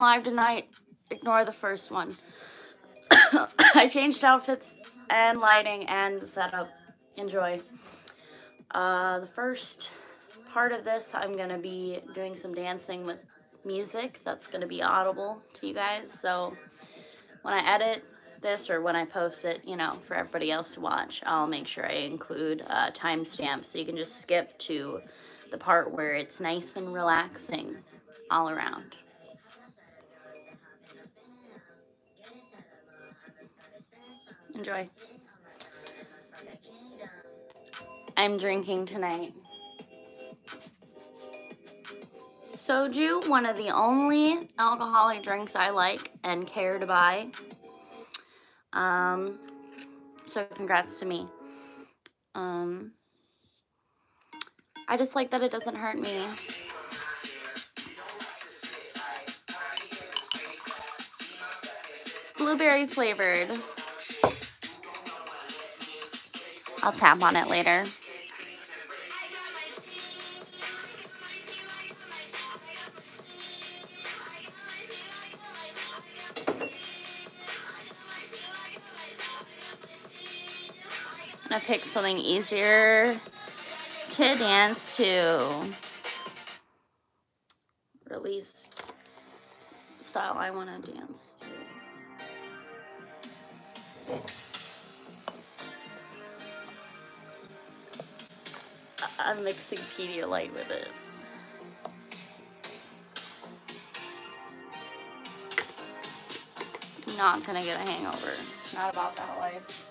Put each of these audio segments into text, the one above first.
live tonight. Ignore the first one. I changed outfits and lighting and setup. Enjoy. Uh, the first part of this, I'm going to be doing some dancing with music that's going to be audible to you guys. So when I edit this or when I post it, you know, for everybody else to watch, I'll make sure I include uh, timestamps so you can just skip to the part where it's nice and relaxing all around. Enjoy. I'm drinking tonight. Soju, one of the only alcoholic drinks I like and care to buy. Um, so congrats to me. Um, I just like that it doesn't hurt me. It's blueberry flavored. I'll tap on it later. I'm gonna pick something easier to dance to. Or at least style I wanna dance to. I'm mixing Pedialyte with it. Not gonna get a hangover. Not about that life.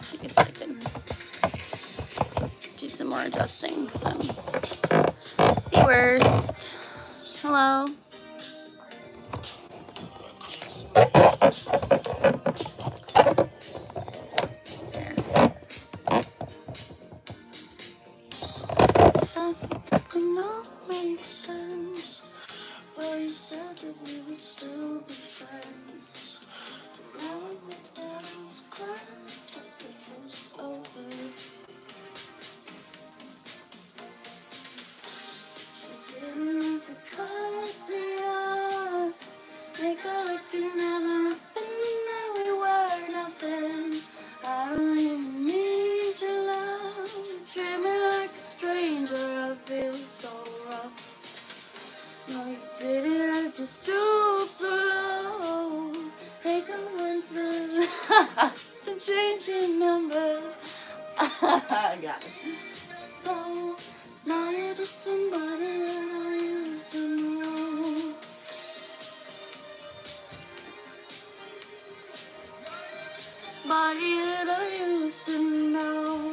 see if I can do some more adjusting. So, the worst. Hello. Well, you said that we would still be friends. But now I knew that I was glad that it was over. You didn't have to cut me off. Make it like it never Now we were nothing. I don't even need your love. Treat me like a stranger. I feel so rough. I did it, I just stood so low. Take a Winston, change your number. I got it. Oh, now you're just somebody that I used to know. Somebody that I used to know.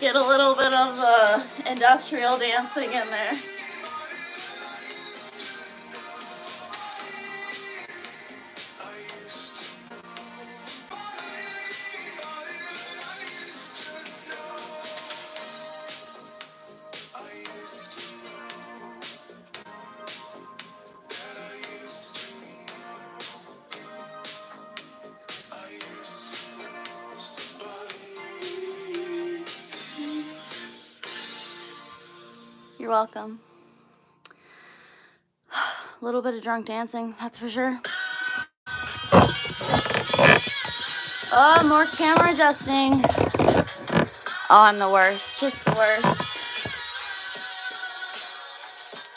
get a little bit of the uh, industrial dancing in there. You're welcome. A little bit of drunk dancing, that's for sure. Oh, more camera adjusting. Oh, I'm the worst, just the worst.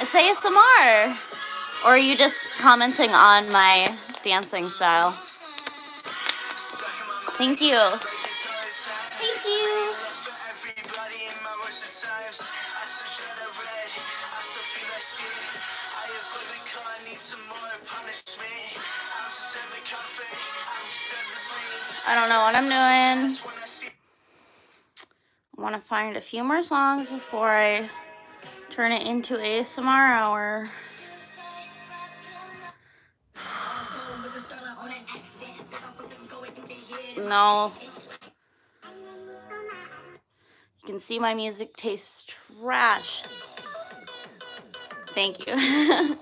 It's ASMR. Or are you just commenting on my dancing style? Thank you. Thank you. I don't know what I'm doing. I want to find a few more songs before I turn it into a ASMR hour. no. You can see my music tastes trash. Thank you.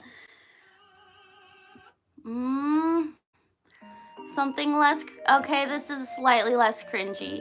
mm, something less, okay, this is slightly less cringy.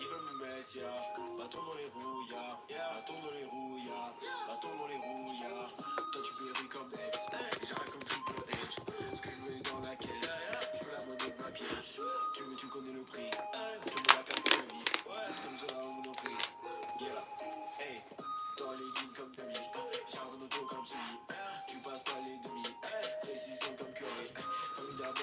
Ils veulent me mettre, ya. Bâton dans les rouilles, ya. Bâton dans les rouilles, ya. Bâton dans les rouilles, ya. Toi, tu péris comme ex. J'arrive comme triple edge. Ce que je veux dans la caisse. Je veux la monnaie de ma pièce. Tu veux, tu connais le prix. Tu me la carte de la vie. Comme ça on prie Viens Yeah. Hey. Dans les jeans comme demi. J'ai un auto comme celui. Tu passes pas les demi. Précision comme curé. d'abord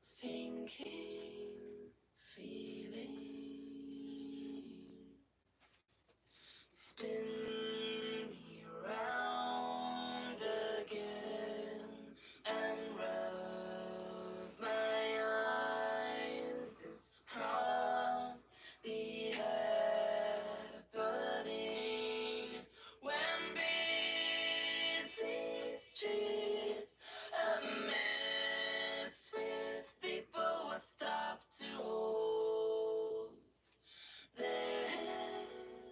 sinking feeling. Spin me round again and rub my eyes. This can happening when busy streets are messed with, people would stop to hold their heads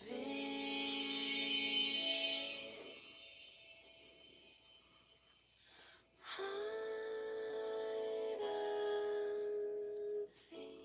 heavy. Hide and seek.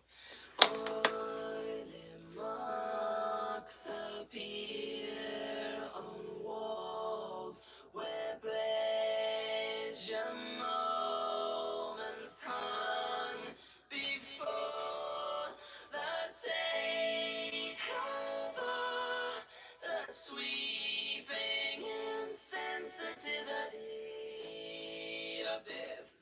Oily marks appear on walls where pleasure moments hung before the takeover, the sweeping insensitivity of this.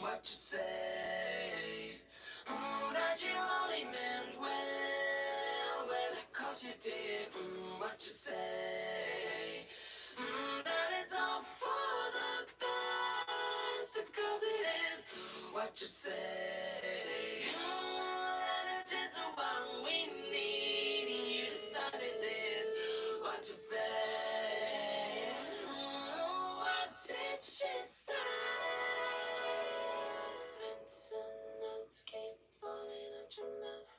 what you say. Oh, that you only meant well, well, you did mm, what you say. Mm, that it's all for the best, of it is what you say. that mm, it is what we need. You decided this, what you say. Mm, what did she say? And some notes keep falling out your mouth.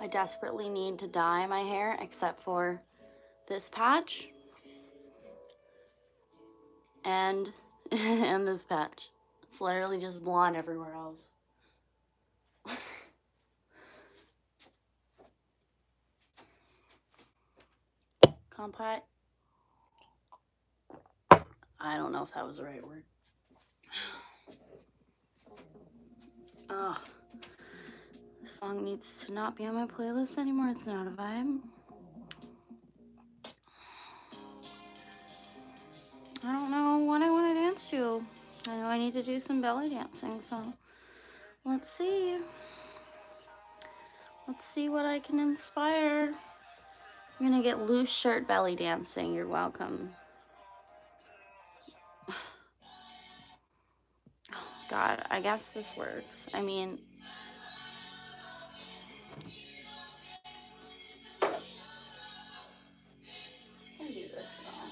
I desperately need to dye my hair except for this patch and and this patch. It's literally just blonde everywhere else. Compot. I don't know if that was the right word. Oh, this song needs to not be on my playlist anymore. It's not a vibe. I don't know what I want to dance to. I know I need to do some belly dancing, so let's see. Let's see what I can inspire. I'm gonna get loose shirt belly dancing. You're welcome. God, I guess this works. I mean, can do this now.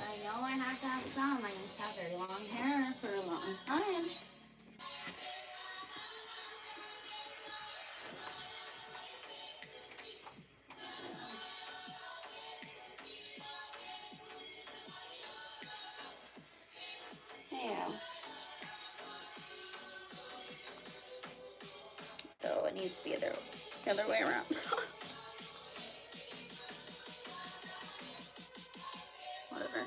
I know I have to have some. I just have very long hair for a long time. So it needs to be the other way around. Whatever.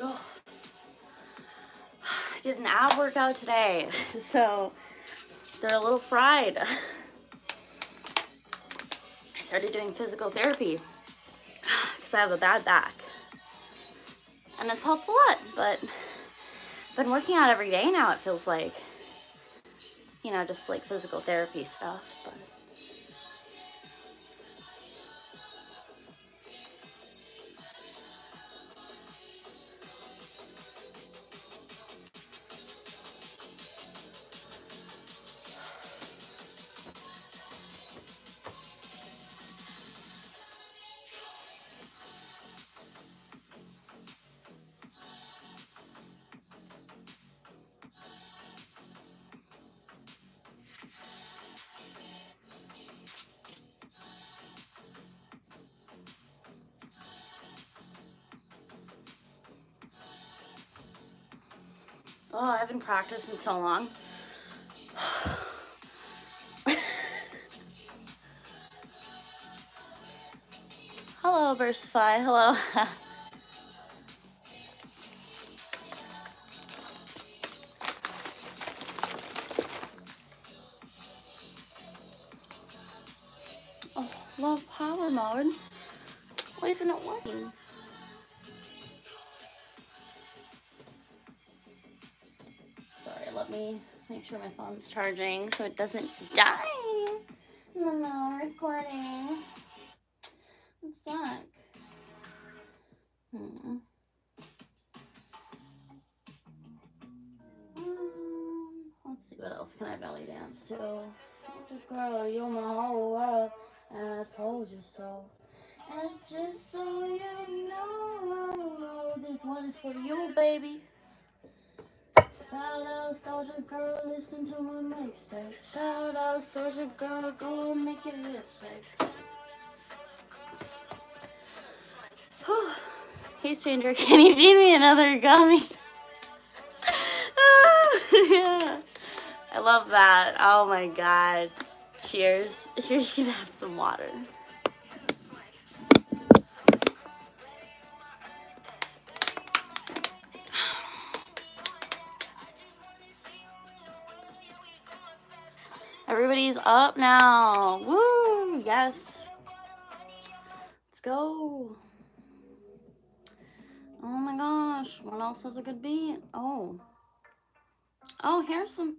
Ugh. I did an ab workout today, so they're a little fried. I started doing physical therapy because I have a bad back and it's helped a lot, but been working out every day now, it feels like. You know, just like physical therapy stuff, but. Oh, I haven't practiced in so long. Hello, Versify. Hello. oh, love power mode. Why isn't it working? Sorry, let me make sure my phone's charging so it doesn't die when recording. It Hmm. Um, let's see what else can I belly dance to. you're my whole world, and I told you so. And just so you know, this one is for you, baby. Shout out, soldier girl, listen to my mixtape. Shout out, soldier girl, go make your lips hey, stranger, can you feed me another gummy? I love that. Oh my god. Cheers. Here you can have some water. Everybody's up now. Woo! Yes. Let's go. Oh my gosh. What else has a good beat? Oh. Oh, here's some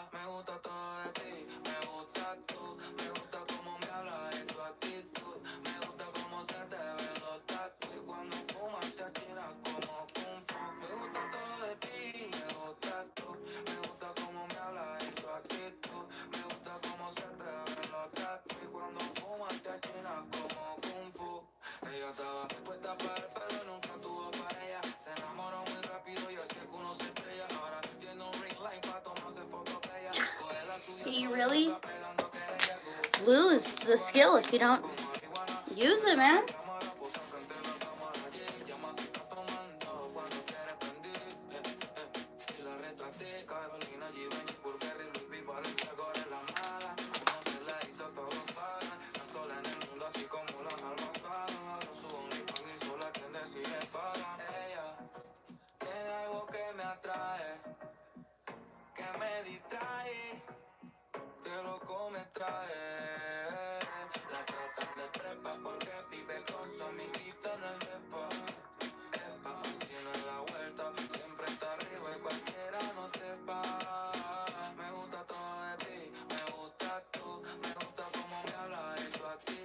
me gusta todo de ti, me gusta tú, me gusta como me hablas y tu actitud, me gusta como se te ven los tatu y cuando fumas te achinas como un fu. Me gusta todo de ti, me gusta tu, me gusta como me hablas y tu actitud, me gusta como se te ven los tatu y cuando fumas te achinas como kung fu. Ella estaba dispuesta para el pero nunca tuvo para ella. se enamoró muy rápido y así que uno se estrella ahora You really lose the skill if you don't use it, man. su OnlyFans y sola si decide pagan Ella tiene algo que me atrae, que me distrae, que loco me trae. La tratan de prepa porque vive con su amiguita en el depa. la vuelta, siempre está arriba y cualquiera no te para Me gusta todo de ti, me gusta tú, me gusta cómo me habla a ti.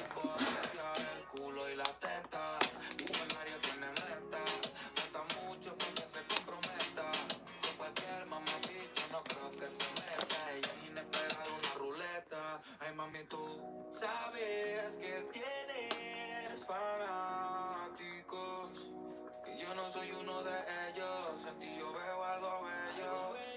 El culo y la teta, mi sol tiene la falta mucho para que se comprometa, con cualquier mamavicho no creo que se meta, ella es inesperada una ruleta, ay mami tú, ¿sabes que tienes fanáticos? Que yo no soy uno de ellos, en ti yo veo algo bello, bello.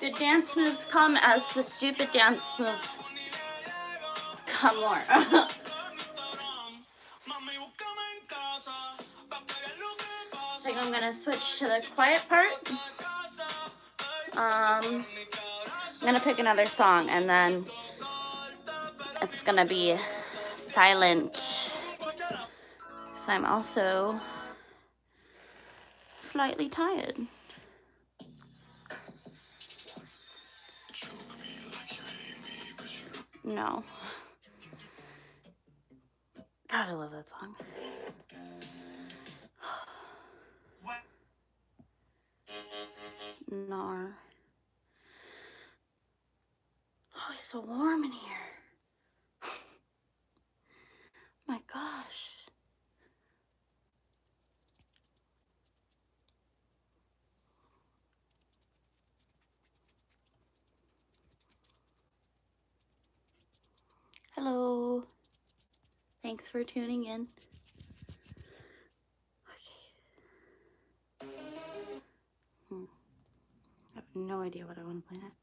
The dance moves come as the stupid dance moves come more. I think I'm gonna switch to the quiet part. Um, I'm gonna pick another song and then it's gonna be silent. So I'm also slightly tired. No. God, I love that song. what? Oh, it's so warm in here. My gosh. Hello. Thanks for tuning in. Okay. Hmm. I have no idea what I want to play next.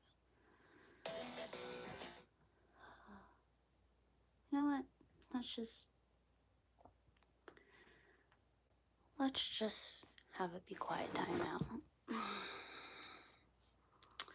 You know what? Let's just... Let's just have it be quiet time out.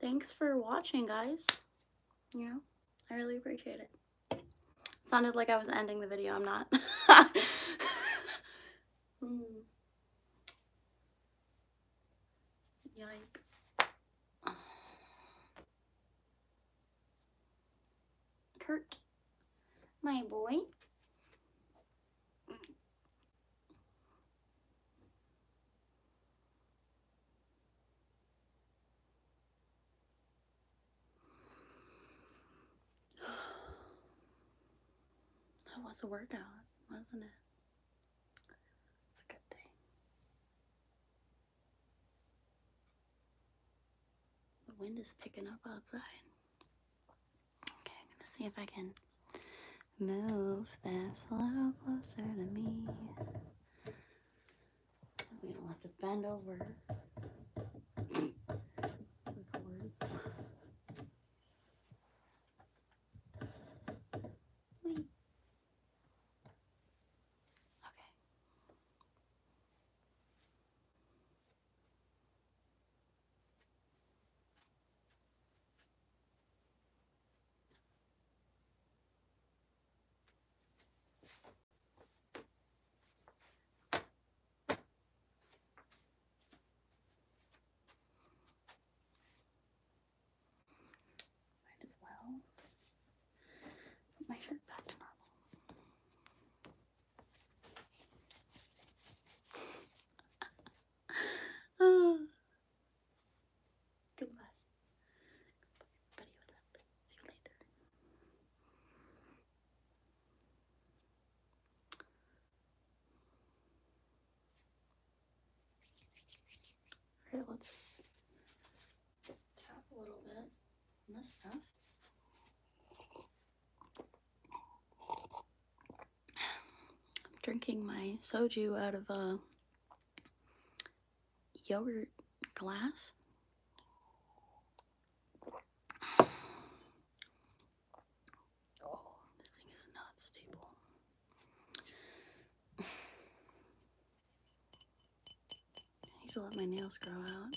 thanks for watching, guys. You know, I really appreciate it. sounded like I was ending the video. I'm not. mm. Kurt, my boy. That was a workout, wasn't it? It's a good thing. The wind is picking up outside. Okay, I'm gonna see if I can move this a little closer to me. We don't have to bend over. okay. Might as well put my shirt back to normal. oh, Goodbye. See you later. Alright, let's tap a little bit on this stuff. I'm drinking my soju out of a uh, yogurt glass. Oh, this thing is not stable. I need to let my nails grow out.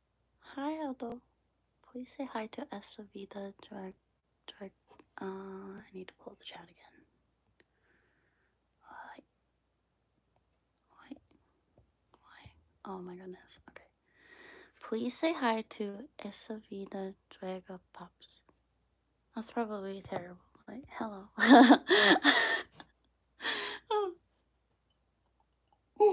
Hi, Aldo. Please say hi to Esavita Drag. Drag. Uh, I need to pull the chat again. Why? Why? Why? Oh my goodness. Okay. Please say hi to Esavita Draga Pops. That's probably terrible. Like, hello. Oh. Let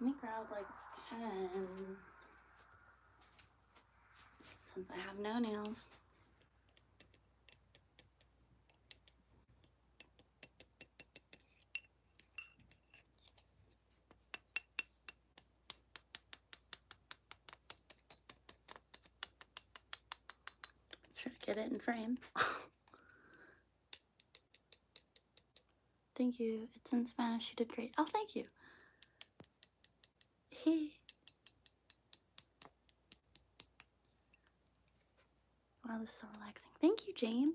me grab like ten. since I have no nails. Try to get it in frame. thank you. It's in Spanish. You did great. Oh, thank you. Wow, this is so relaxing. Thank you, James.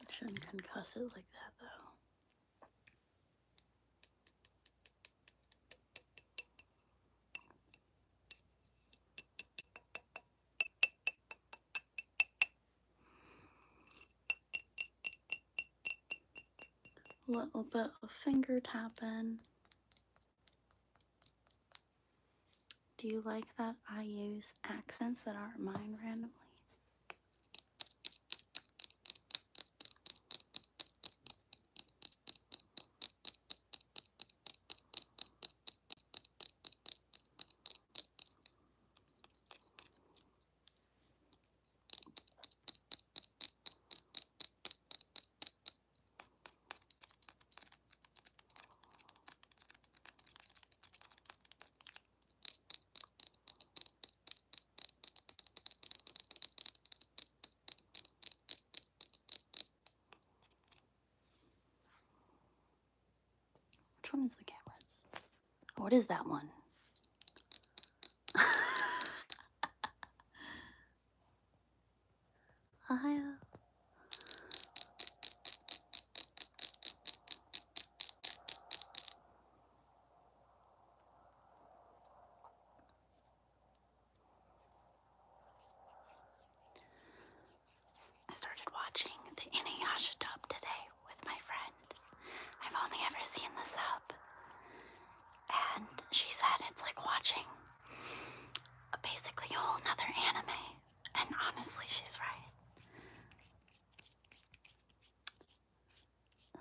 I shouldn't concuss it like that though. A little bit of finger tapping. Do you like that I use accents that aren't mine randomly? Which one is the cameras? what oh, is that one? I started watching the Inuyasha dub today with my friend. I've only ever seen the sub. And she said it's like watching basically a whole nother anime. And honestly, she's right.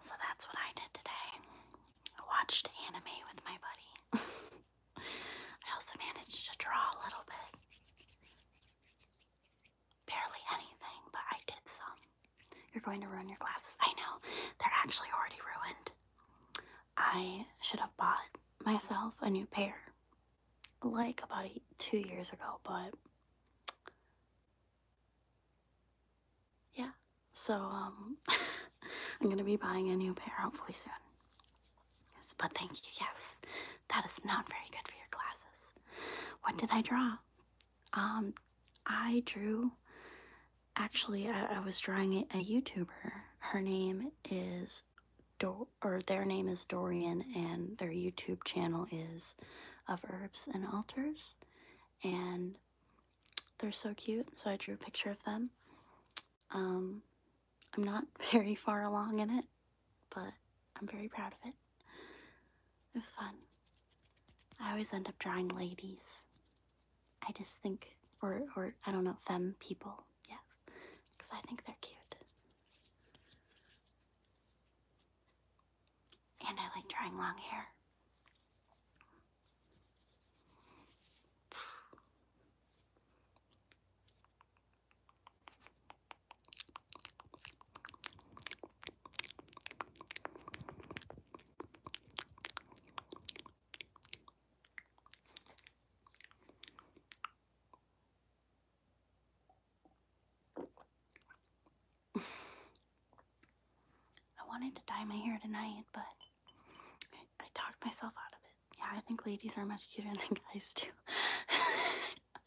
So that's what I did today. I watched anime with my buddy. I also managed to draw a little bit. Barely anything, but I did some. You're going to ruin your glasses. I know, they're actually already ruined. I should have bought myself a new pair like about two years ago, but yeah. So um, I'm gonna be buying a new pair hopefully soon. Yes, but thank you. Yes, that is not very good for your glasses. What did I draw? Um, I drew. Actually, I, I was drawing a, a YouTuber. Her name is is or their name is Dorian and their YouTube channel is of herbs and altars and they're so cute so I drew a picture of them. Um, I'm not very far along in it but I'm very proud of it. It was fun. I always end up drawing ladies. I just think, or, or I don't know, femme people, yes, because I think they're cute. And I like drawing long hair. I wanted to dye my hair tonight, but I, talked myself out of it. Yeah, I think ladies are much cuter than guys, too.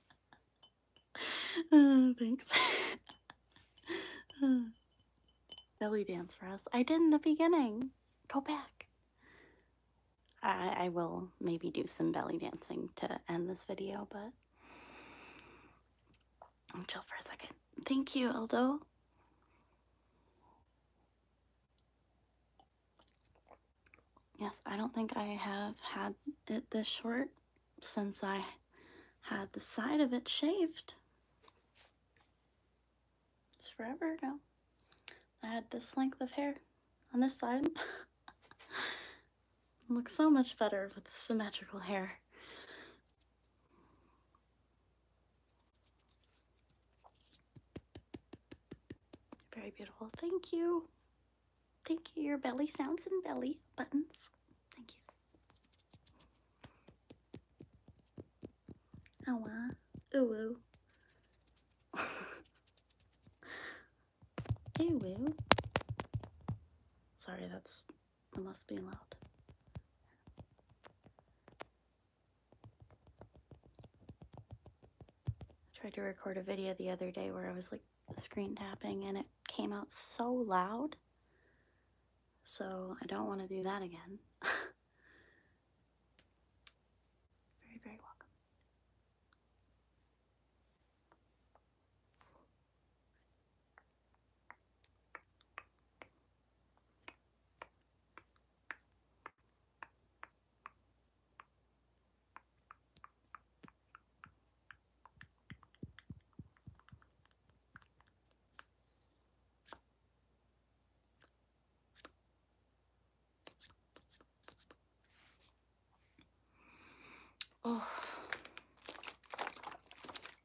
Oh, thanks. belly dance for us. I did in the beginning. Go back. I, will maybe do some belly dancing to end this video, but chill for a second. Thank you, Eldo. Yes, I don't think I have had it this short since I had the side of it shaved. It's forever ago. I had this length of hair on this side. Looks so much better with symmetrical hair. Very beautiful. Thank you. Thank you. Your belly sounds and belly buttons. Thank you. Awa. Ooh hey, Sorry, that's that must be loud. I tried to record a video the other day where I was like screen tapping and it came out so loud. So I don't want to do that again. very, very welcome. Oh,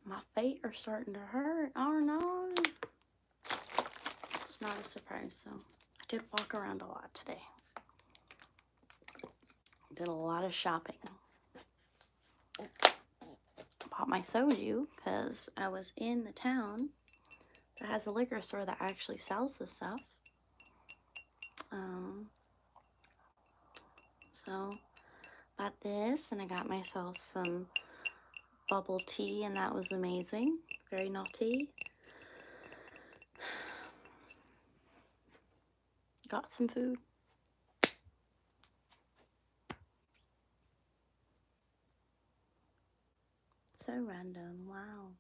my feet are starting to hurt. I don't know. It's not a surprise though. I did walk around a lot today. Did a lot of shopping. Bought my soju because I was in the town that has a liquor store that actually sells this stuff. Um, so bought this and I got myself some bubble tea and that was amazing. Very naughty. Got some food. So random, wow.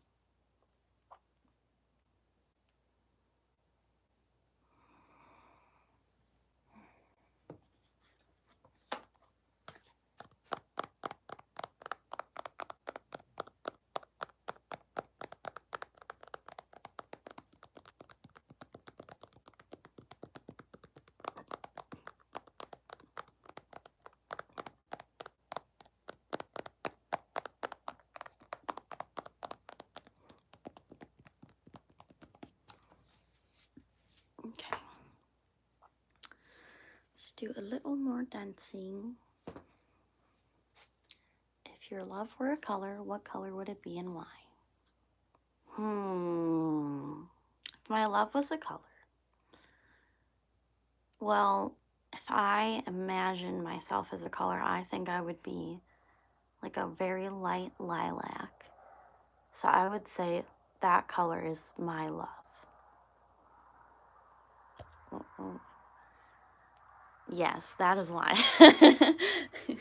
Okay, let's do a little more dancing. If your love were a color, what color would it be and why? Hmm, if my love was a color, well, if I imagine myself as a color, I think I would be like a very light lilac. So I would say that color is my love. Yes, that is why. okay,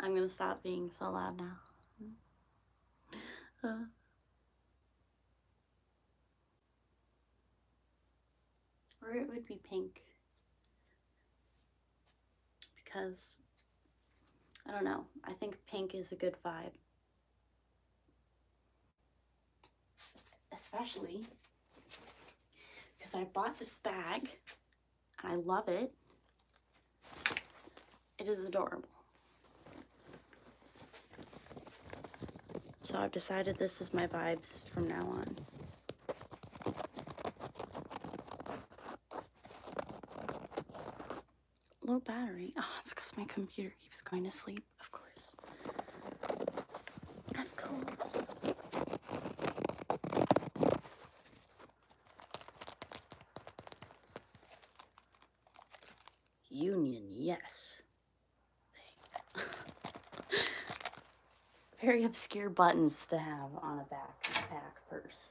I'm going to stop being so loud now. Uh. Or it would be pink. Because, I don't know, I think pink is a good vibe. Especially because I bought this bag I love it. It is adorable. So I've decided this is my vibes from now on. Low battery. Oh, it's because my computer keeps going to sleep, of course. Of Union, yes. Very obscure buttons to have on a backpack purse.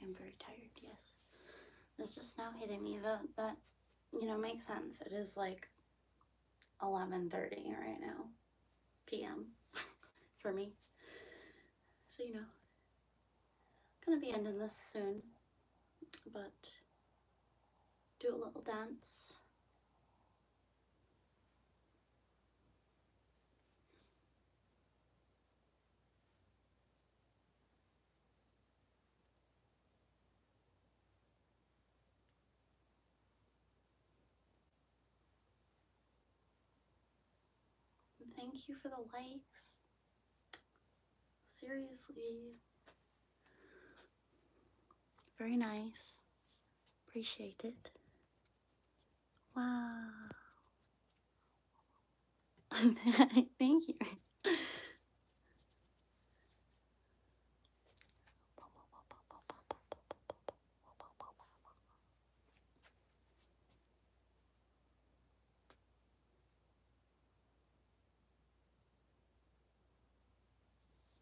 I am very tired, yes. It's just now hitting me that that you know makes sense. It is like 11:30 right now p.m. for me. So you know, gonna be ending this soon, but do a little dance. Thank you for the likes. Seriously. Very nice. Appreciate it. Wow. Thank you.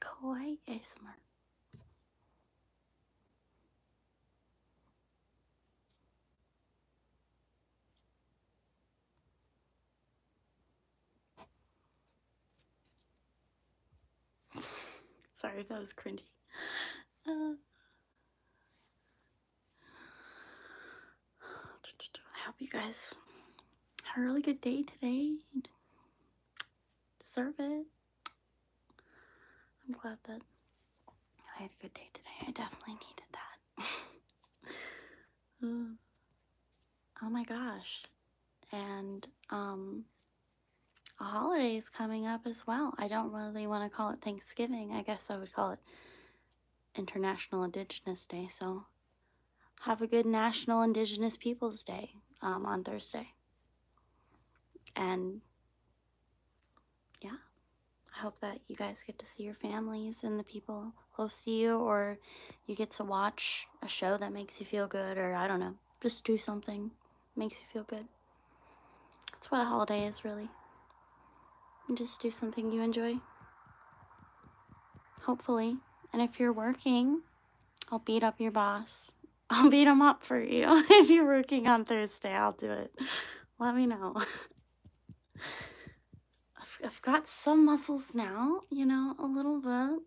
Kawaii ASMR. Sorry that was cringy. Uh, I hope you guys had a really good day today. deserve it. I'm glad that I had a good day today. I definitely needed that. Um, oh my gosh. And um, a holiday is coming up as well. I don't really want to call it Thanksgiving. I guess I would call it International Indigenous Day, so have a good National Indigenous Peoples Day um, on Thursday. And yeah, I hope that you guys get to see your families and the people close to you, or you get to watch a show that makes you feel good, or I don't know, just do something makes you feel good. That's what a holiday is, really. Just do something you enjoy. Hopefully. And if you're working, I'll beat up your boss. I'll beat him up for you. if you're working on Thursday, I'll do it. Let me know. I've, got some muscles now, you know, a little bit.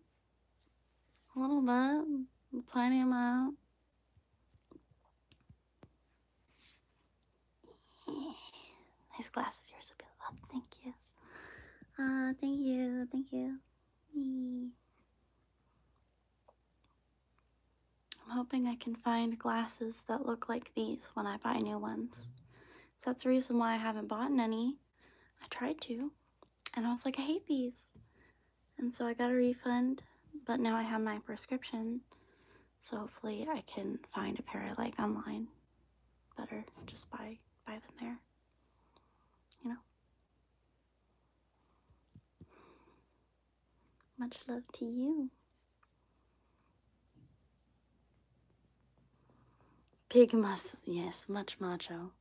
A little bit. A tiny amount. Nice glasses, you're so beautiful. thank you. Ah, thank you, thank you. I'm hoping I can find glasses that look like these when I buy new ones. So that's the reason why I haven't bought any. I tried to, and I was like, I hate these. And so I got a refund, but now I have my prescription. So hopefully I can find a pair I like online better. Just buy buy them there. You know. Much love to you. Big muscle, yes, much macho.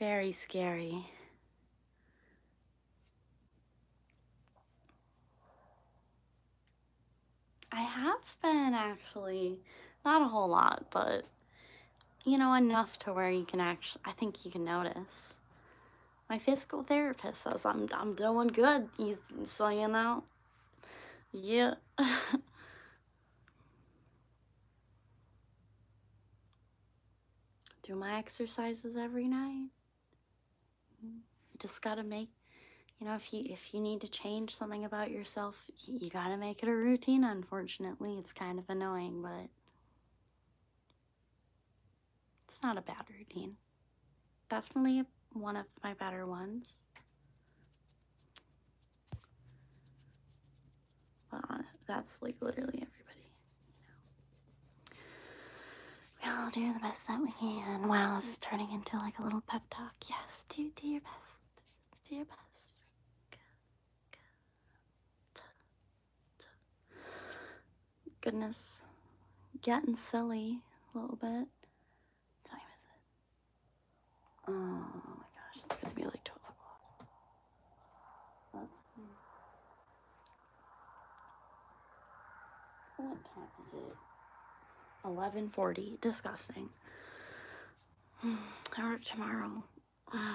Very scary. I have been actually. Not a whole lot, but you know, enough to where you can actually, I think you can notice. My physical therapist says I'm, I'm doing good, so you know. Yeah. Do my exercises every night. Just gotta make, you know, if you if you need to change something about yourself, you gotta make it a routine. Unfortunately, it's kind of annoying, but it's not a bad routine. Definitely one of my better ones. But uh, that's like literally everybody. You know we all do the best that we can. Wow, this is turning into like a little pep talk. Yes, do do your best. Do your best. Goodness, getting silly a little bit. What time is it? Oh my gosh, it's gonna be like twelve o'clock. let what time is it? 11:40. Disgusting. I work tomorrow. I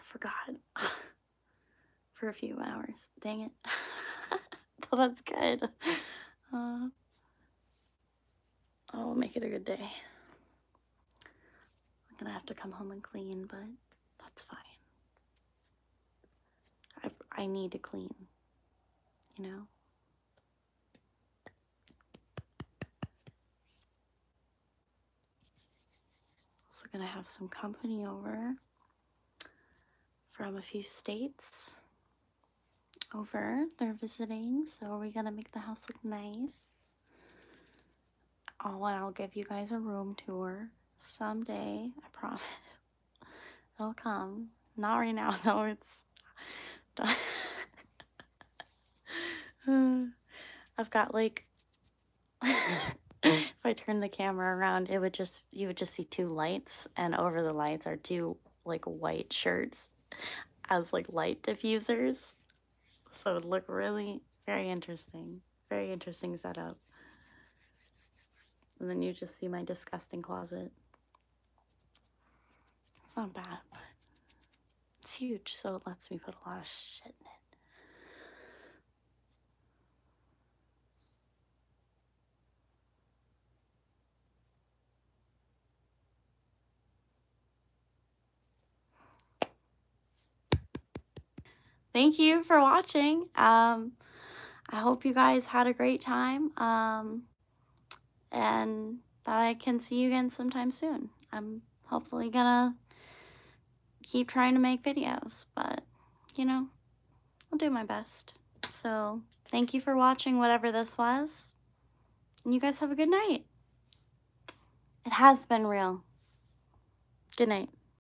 forgot for a few hours. Dang it. well, that's good. Uh, I'll make it a good day. I'm gonna have to come home and clean, but that's fine. I, I need to clean, you know? Also gonna have some company over from a few states over. They're visiting, so we're gonna make the house look nice. Oh, I'll give you guys a room tour someday, I promise, it'll come. Not right now, though, it's done. I've got like, if I turn the camera around, it would just, you would just see two lights, and over the lights are two like white shirts as like light diffusers. So it would look really very interesting. Very interesting setup. And then you just see my disgusting closet. It's not bad, but it's huge, so it lets me put a lot of shit in it. Thank you for watching. Um, I hope you guys had a great time um, and that I can see you again sometime soon. I'm hopefully gonna keep trying to make videos, but you know, I'll do my best. So thank you for watching whatever this was. And you guys have a good night. It has been real. Good night.